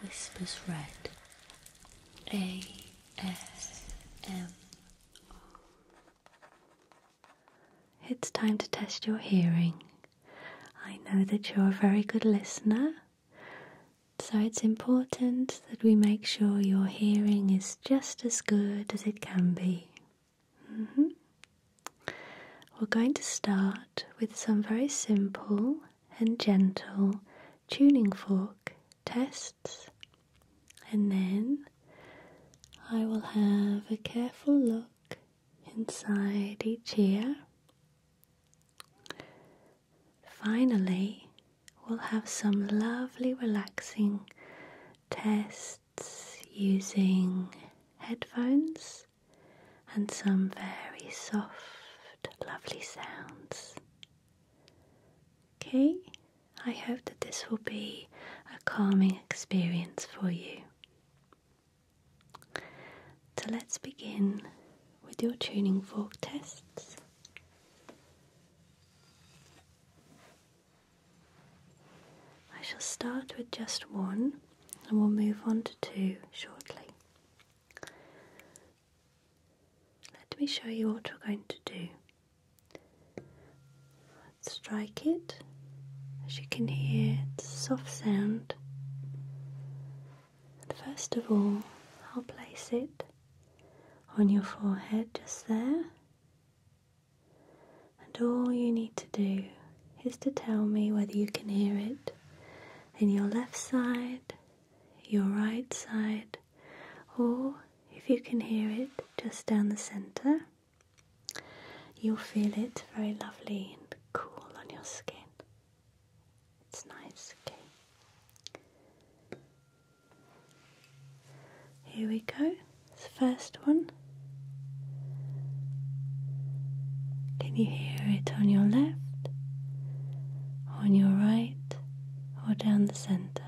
Whispers Red A S M R. It's time to test your hearing. I know that you're a very good listener, so it's important that we make sure your hearing is just as good as it can be. Mm-hmm. We're going to start with some very simple and gentle tuning fork tests, and then I will have a careful look inside each ear. Finally, we'll have some lovely, relaxing tests using headphones and some very soft, lovely sounds. Okay, I hope that this will be a calming experience for you. So let's begin with your tuning fork tests. I shall start with just one and we'll move on to two shortly. Let me show you what we're going to do. strike it. As you can hear, it's a soft sound. And first of all, I'll place it on your forehead just there. And all you need to do is to tell me whether you can hear it in your left side, your right side, or if you can hear it, just down the center. You'll feel it very lovely and cool on your skin. It's nice, okay? Here we go. It's the first one. Can you hear it on your left? on your right, or down the center.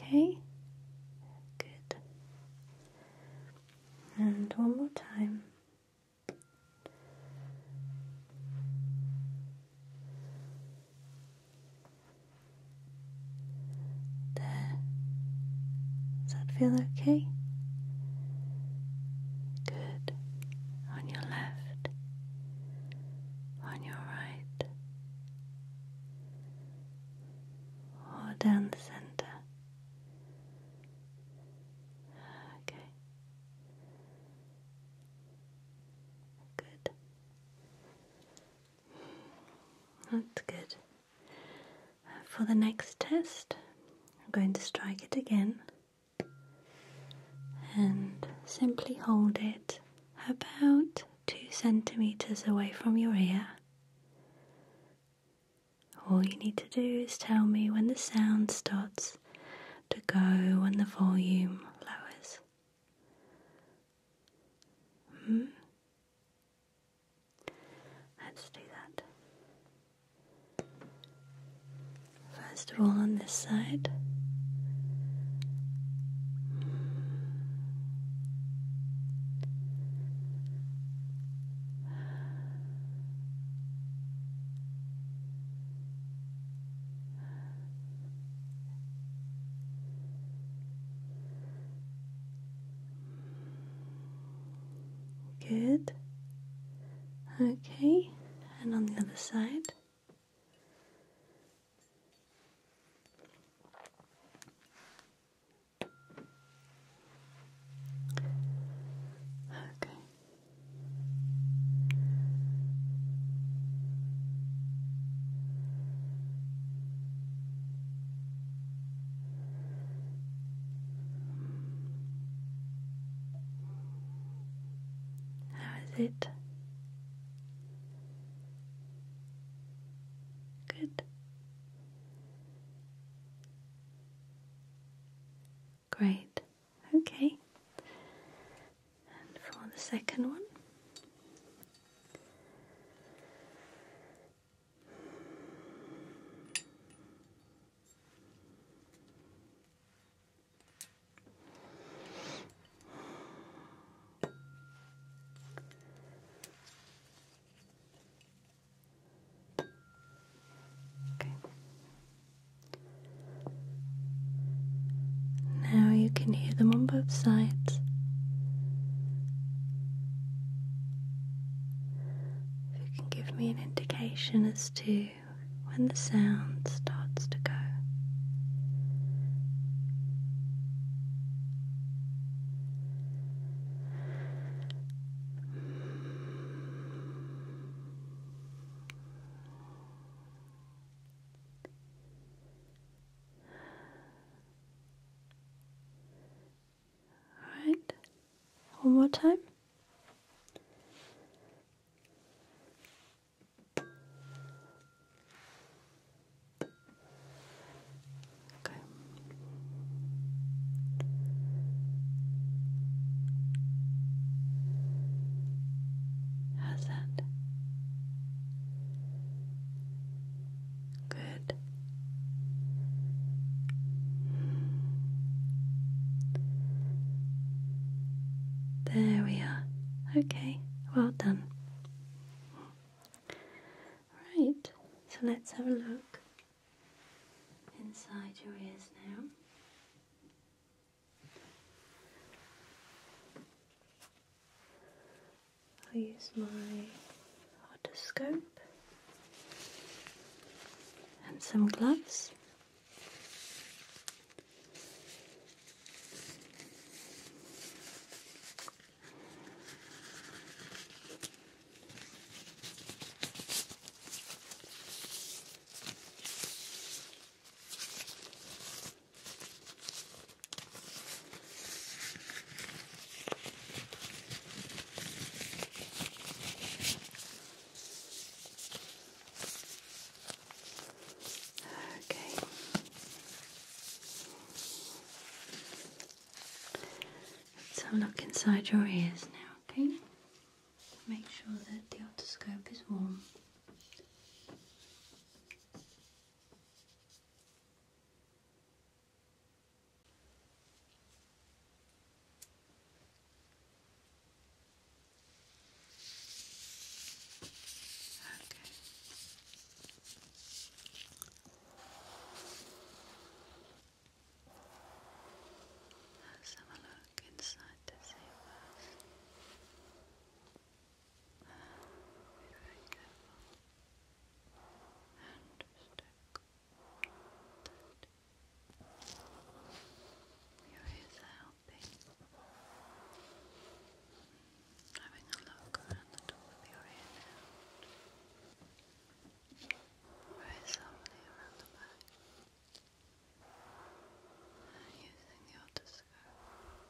Okay, good. And one more time. There. Does that feel okay? Good. On your left. On your right. Or down the center. Okay. Good. That's good. For the next test, I'm going to strike it again and simply hold it about two centimeters away from your ear. All you need to do is tell me when the sound starts to go and the volume lowers. Mm, Let's do that. First of all, on this side. Good. Okay, and on the other side. Okay. How is it? Good. Great. Okay. And for the second one. Okay. Now you can hear them on both sides. If you can give me an indication as to when the sound starts to go. Alright, one more time. Okay. How's that? Good. There we are. Okay, well done. Right, so let's have a look inside your ears now i use my otoscope and some gloves. Okay. Let's have a look inside your ears now, okay? Make sure that the otoscope is warm. Okay. Let's have a look inside to see what else. Uh, your ears are healthy. Having a look around the top of your ear now. Very around the back. using the otoscope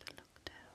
to look down.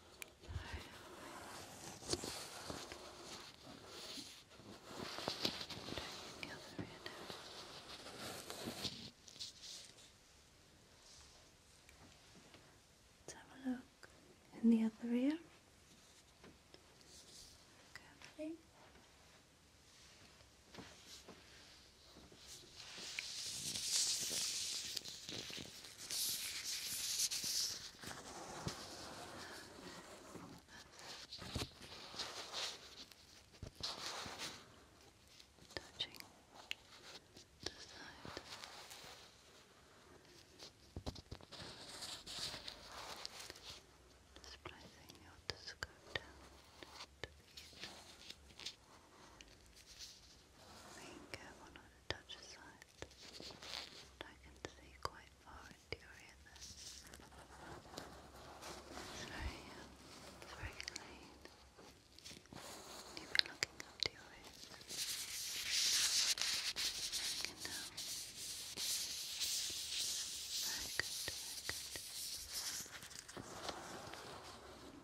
have a look in the other ear. Carefully touching the side. Splicing your scope down to the end being careful not to touch the side. But I can see quite far into your ear there. It's very, um, very clean. You've been looking up to your ears. You can tell. good, good.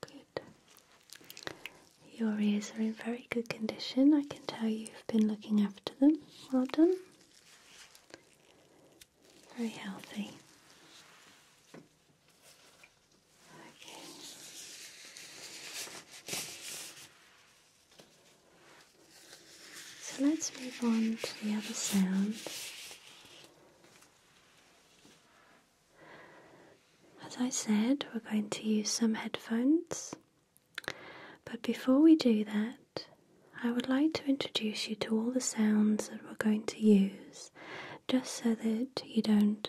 Good. Your ears are in very good condition. I can tell you've been looking after them. Well done. Very healthy. Okay. So let's move on to the other sound. As I said, we're going to use some headphones, but before we do that, I would like to introduce you to all the sounds that we're going to use just so that you don't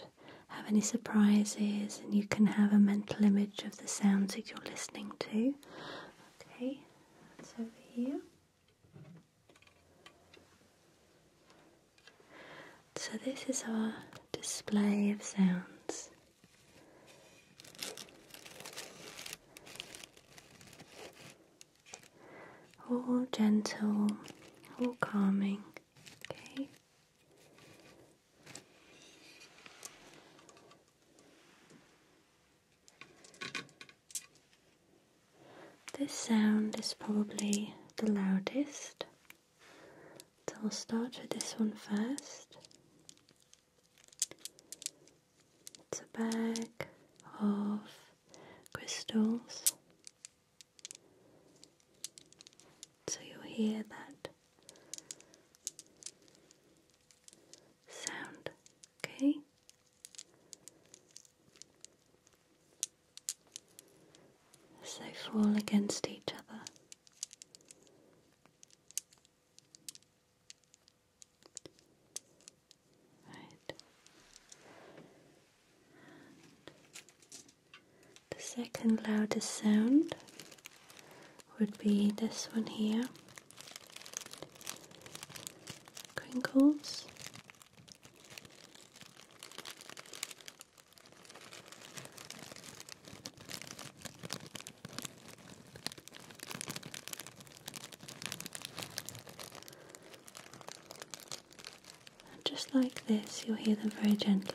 have any surprises and you can have a mental image of the sounds that you're listening to. Okay, that's over here. So, this is our display of sounds. All gentle, all calming, okay? This sound is probably the loudest, so we'll start with this one first. It's a bag of crystals, so you'll hear that sound, okay? as they fall against each other. Right. the second loudest sound would be this one here crinkles just like this, you'll hear them very gently.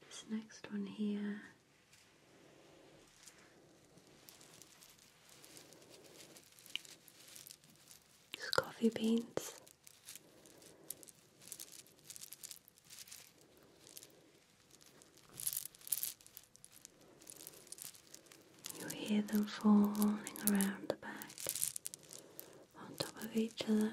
This next one here. It's coffee beans. You hear them falling around the back on top of each other.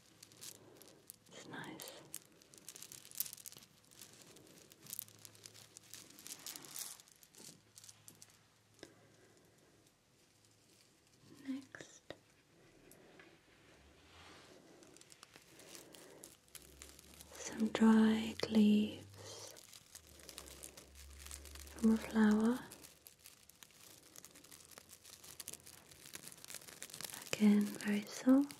It's nice. Next, some dried leaves from a flower. Again, very soft,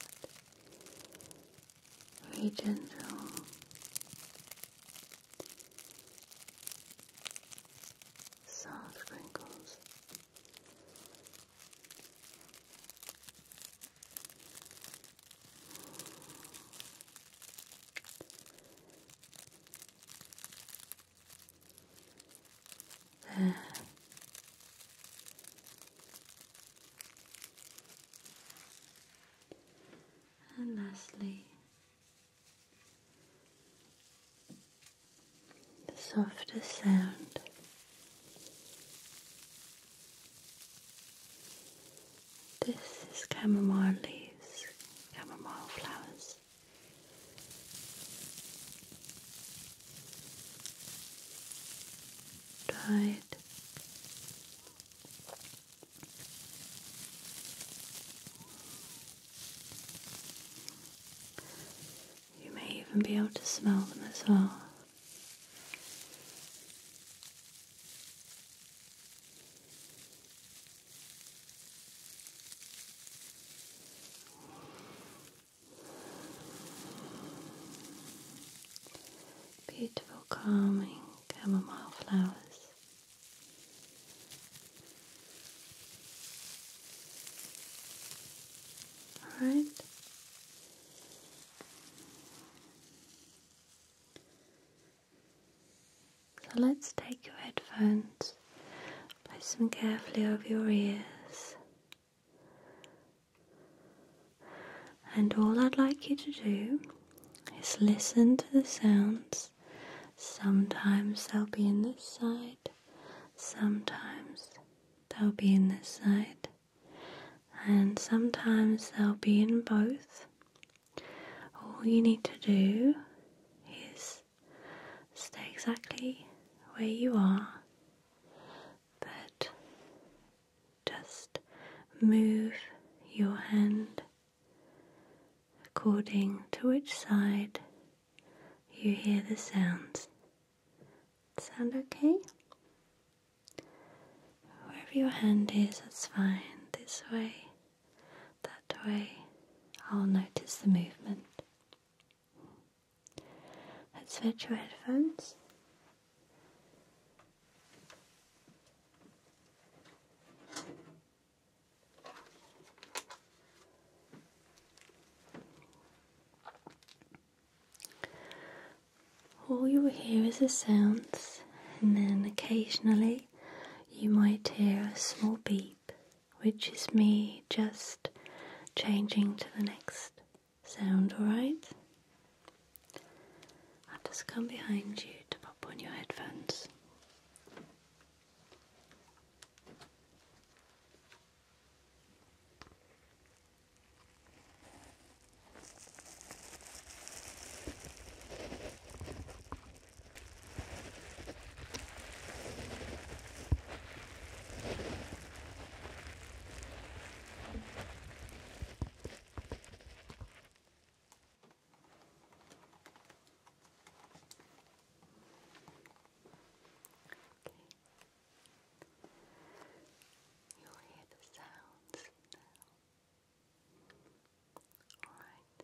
very gentle. Soft wrinkles and lastly, the softest sound this is chamomile leaves, chamomile flowers. Right. You may even be able to smell them as well. Beautiful, calming chamomile flowers. All right. So let's take your headphones, place them carefully over your ears. And all I'd like you to do is listen to the sounds. Sometimes they'll be in this side, sometimes they'll be in this side, and sometimes they'll be in both. All you need to do is stay exactly where you are but just move your hand according to which side you hear the sounds. Sound okay? Wherever your hand is, that's fine. This way, that way, I'll notice the movement. Let's fetch your headphones. All you will hear is the sounds, and then occasionally you might hear a small beep, which is me just changing to the next Sound alright? I'll just come behind you to pop on your headphones. You'll hear the sounds All right.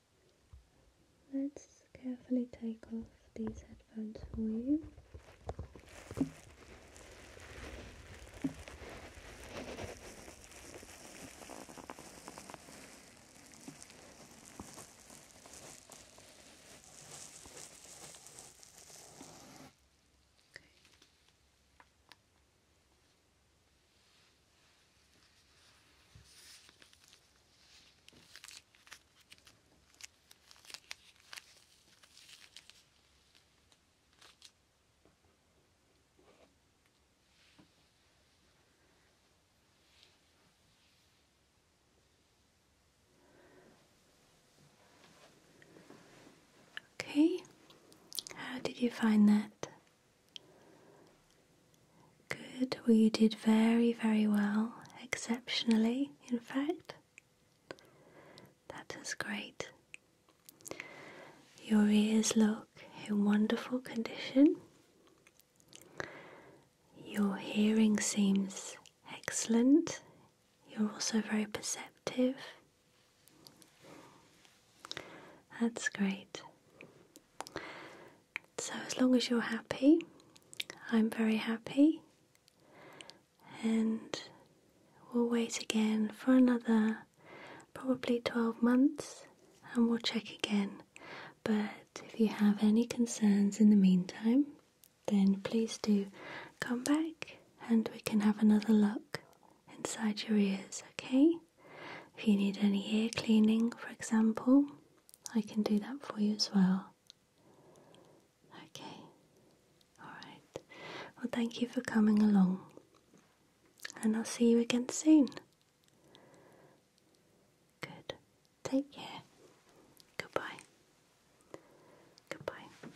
Let's carefully take off these headphones for you. Okay. Okay, how did you find that? Good, We did very, very well, exceptionally, in fact. That is great. Your ears look in wonderful condition. Your hearing seems excellent. You're also very perceptive. That's great. So, as long as you're happy, I'm very happy, and we'll wait again for another probably 12 months and we'll check again. But if you have any concerns in the meantime, then please do come back and we can have another look inside your ears, okay? If you need any ear cleaning, for example, I can do that for you as well. Okay, alright. Well, thank you for coming along, and I'll see you again soon. Good. Take care. Goodbye. Goodbye.